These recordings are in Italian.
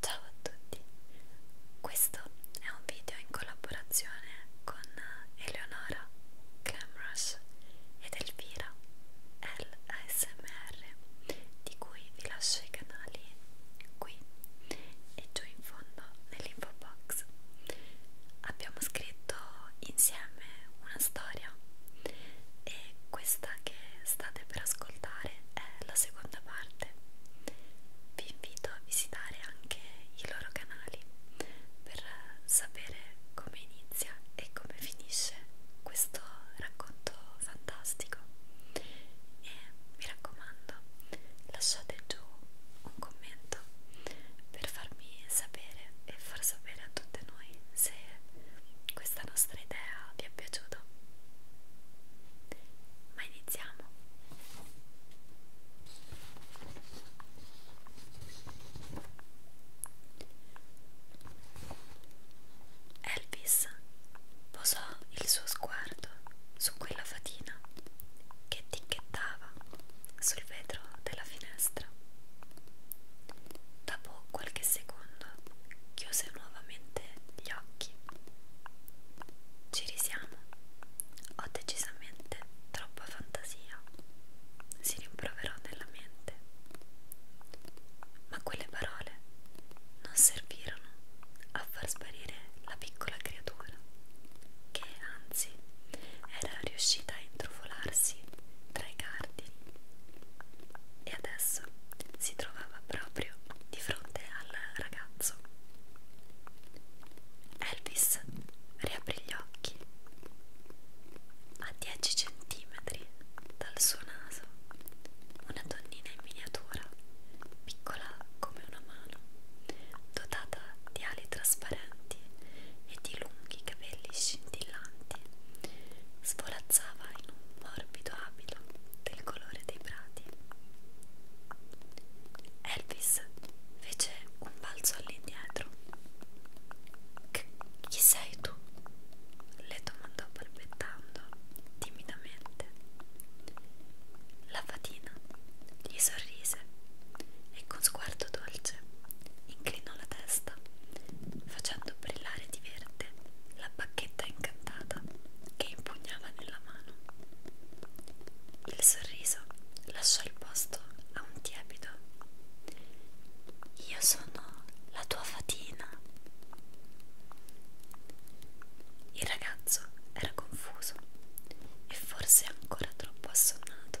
Ciao a tutti, questo è un video in collaborazione con Eleonora Camrush ed Elvira LSMR di cui vi lascio i canali qui e giù in fondo nell'info box abbiamo scritto insieme una storia e questa che state per ascoltare è la seconda parte. Vi invito a visitare anche i loro canali per sapere come inizia e come finisce questo racconto fantastico. E mi raccomando, lasciate giù un commento per farmi sapere e far sapere a tutte noi se questa nostra idea vi è piaciuta. Ma iniziamo! Elvis posò il suo sguardo su quella fatina che ticchettava sul vetro della finestra. Dopo qualche secondo chiuse nuovamente gli occhi. Ci risiamo. Ho decisamente troppa fantasia. Si rimproverò nella mente. Ma quelle parole non servirono a far sparire la piccola creatura, che anzi era riuscita a intrufolarsi tra i cardini e adesso si trovava proprio di fronte al ragazzo. Elvis riaprì gli occhi. A 10 centimetri dal suo naso, una donnina in miniatura, piccola come una mano, dotata di ali trasparenti e di lunghi capelli scintillanti, svolazzava in un morbido abito del colore dei prati. Elvis fece un balzo all'indietro. Chi sei tu? le domandò balbettando timidamente. La fatina gli sorrise e con sguardo dolce inclinò la testa, facendo brillare di verde la bacchetta incantata che impugnava nella mano. Il sorriso lasciò il posto a un tiepido. Io sono la tua fatina. Il ragazzo era confuso e forse ancora troppo assonnato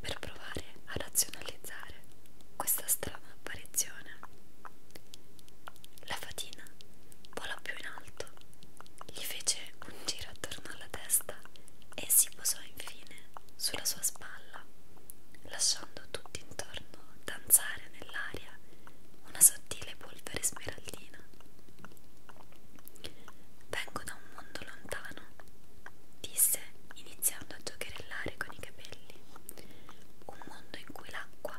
per provare a razionalizzare questa strana apparizione. La fatina volò più in alto, gli fece un giro attorno alla testa e si posò infine sulla sua spalla, lasciando tutti intorno danzare nell'aria una sottile polvere spiralina. Vengo da un mondo lontano, disse iniziando a giocherellare con i capelli. Un mondo in cui l'acqua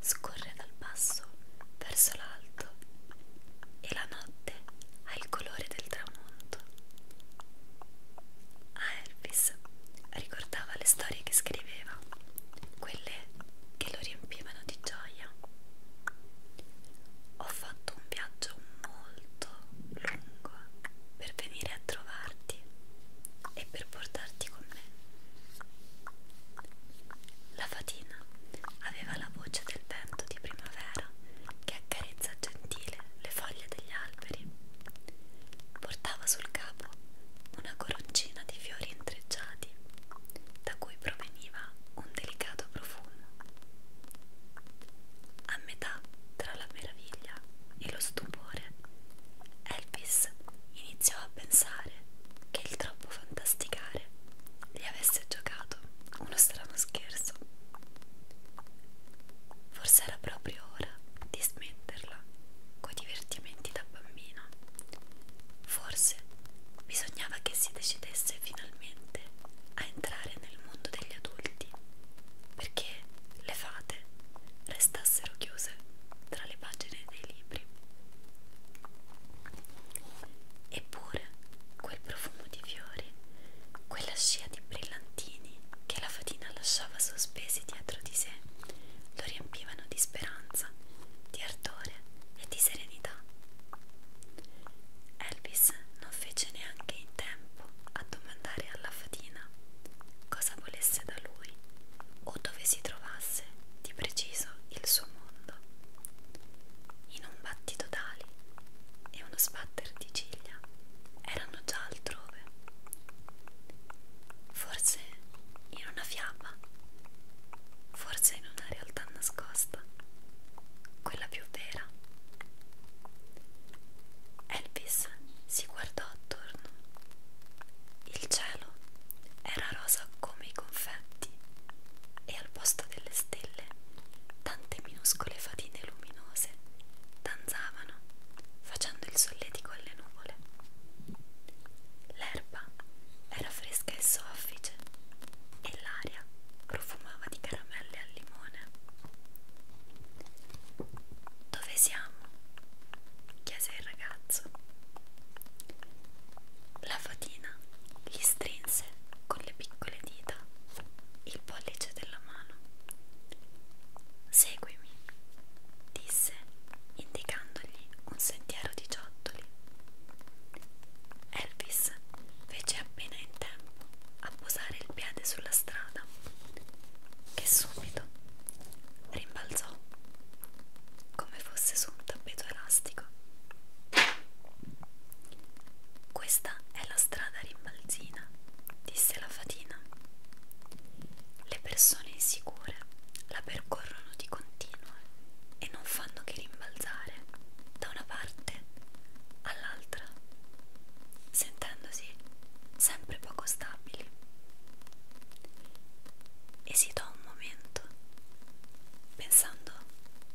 scorre dal basso verso l'alto e la notte ha il colore del tramonto. A ah, Elvis ricordava le storie che scriveva, quelle che lo riempivano di gioia. Ho fatto un viaggio molto lungo per venire a trovarti e per portarti con me. La fatina aveva la voce del vento di primavera che accarezza gentile le foglie degli alberi. Portava sul capo una coroncina di fiori intrecciati da cui proveniva un delicato profumo. A metà tra la meraviglia e lo stupore, Elvis iniziò a pensare che il troppo fantasticare gli avesse giocato uno strano scherzo. Forse era proprio ora di smetterla coi divertimenti da bambino. Forse bisognava che si decidesse finalmente a entrare nel mondo degli adulti perché le fate restassero chiuse tra le pagine dei libri. Eppure quel profumo di fiori, quella scia di brillantini che la fatina lasciava sospesi dietro di sé, lo riempivano di speranza, di ardore e di serenità. Elvis non fece neanche in tempo a domandare alla fatina cosa volesse da lui o dove si trovasse di preciso il suo mondo. In un battito d'ali e uno sbatter di ciglia erano già altrove. Forse in una fiaba, forse in una realtà nascosta, quella più vera Elvis si guardò attorno. Il cielo era rosa come i confetti e al posto delle stelle tante minuscole fatine luminose danzavano facendo il solletico alle nuvole. L'erba era fresca e soffice e l'aria profumava di caramelle al limone. Dove siamo? chiese il ragazzo. La fatina gli strinse con le piccole dita il pollice della mano. Seguimi, disse indicandogli un sentiero di ciottoli. Elvis fece appena in tempo a posare il piede sulla strada, che subito rimbalzò come fosse su un tappeto elastico. Questa è la strada rimbalzina, disse la fatina. Le persone insicure la percorrono di continuo e non fanno che rimbalzare da una parte all'altra sentendosi sempre poco stabili. Esitò un momento, pensando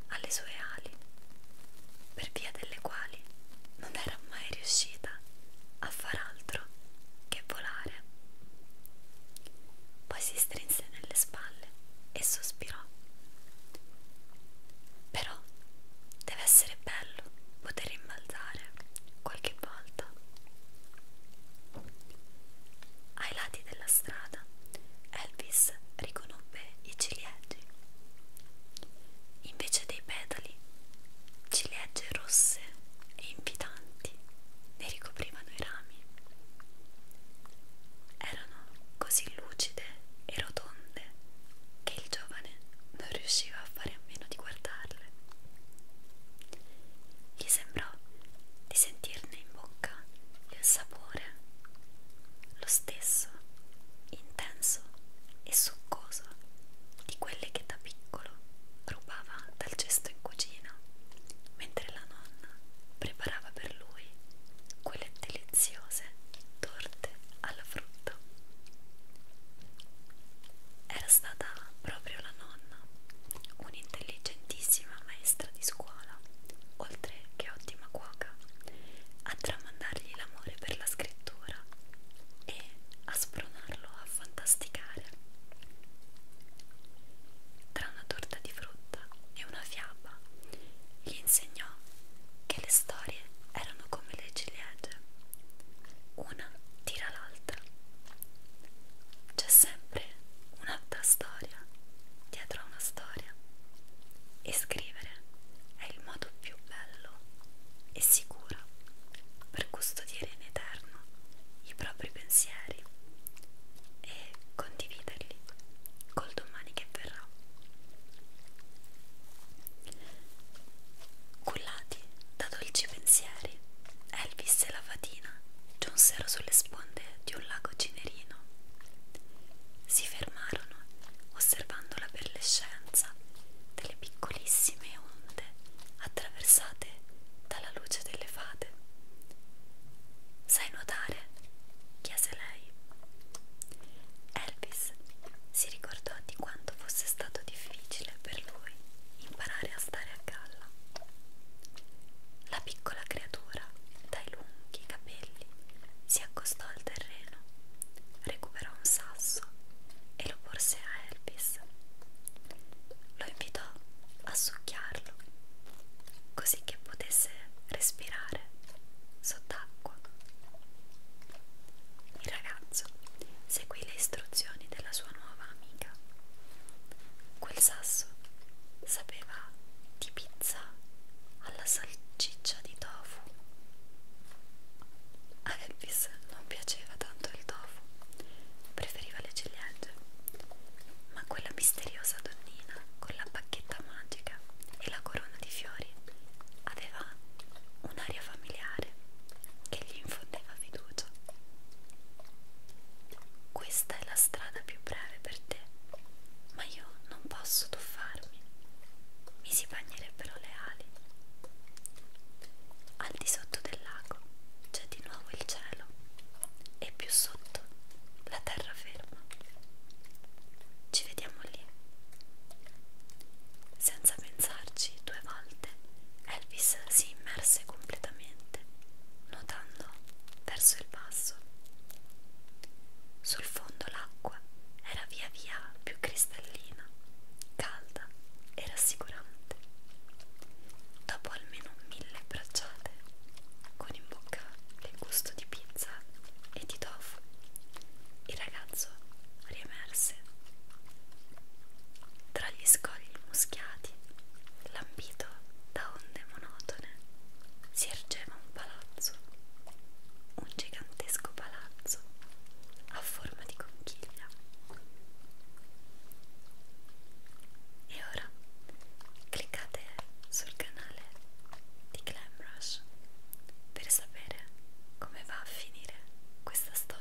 alle sue ali, per via delle quali non era mai riuscita a far altro che volare. Poi si strinse nelle spalle e sospirò. Però Deve essere bello poter rimbalzare qualche volta. Ai lati della strada Elvis riconobbe i ciliegi. Invece dei petali, ciliegie rosse e invitanti ne ricoprivano i rami. Erano così lucide e rotonde che il giovane non riusciva a fare a meno di guardarle. Gli sembrò di sentirne in bocca il sapore, lo stesso, intenso e succoso di quelle che da piccolo rubava dal cesto in cucina, mentre la nonna preparava per lui quelle deliziose torte alla frutta. Era stata proprio la nonna, un'intelligentissima maestra di scuola, oltre che ottima cuoca, a tramandargli l'amore per la scrittura e a spronarlo a fantasticare. Tra una torta di frutta e una fiaba gli insegnò che le storie erano come le ciliegie, una tira l'altra. C'è sempre un'altra storia dietro a una storia e scrivere è il modo più bello e sicuro per custodire in eterno i propri pensieri e condividerli col domani che verrà. Cullati da dolci pensieri, Elvis e la fatina giunsero sulle sponde di un lago cinerino. Si fermarono osservando la perlescenza delle piccolissime onde attraversate dalla luce delle fate. Sai nuotare? chiese lei. Elvis si ricordò di quanto fosse stato difficile per lui imparare a stare a galla. La piccola creatura, dai lunghi capelli, si accostò al terreno, recuperò un sasso e lo porse a Elvis. Lo invitò a succhiarlo così che potesse respirare sott'acqua. Il ragazzo seguì le istruzioni della sua nuova amica. Quel sasso sapeva di pizza alla salciccia di tofu. A Elvis non piaceva tanto il tofu, preferiva le ciliegie, ma quella misteriosa donnina con la bacchetta magica e la corona di fiori aveva un'aria familiare che gli infondeva fiducia. Questa è la strada più breve per te, ma io non posso tuffarmi, mi si bagnerebbero le ali. Al di sotto del lago c'è di nuovo il cielo e più sotto la terraferma. Ci vediamo lì, senza pensarci due volte, Elvis si immerse completamente, nuotando verso il basso. Sul fondo l'acqua era via via più cristallina, calda e rassicurante. Dopo almeno mille bracciate, con in bocca il gusto di pizza e di tofu il ragazzo riemerse tra gli scogli muschiati, lampito da onde monotone, si ergeva un palazzo, un gigantesco palazzo a forma di conchiglia. E ora cliccate sul canale di Clamrush per sapere come va a finire questa storia.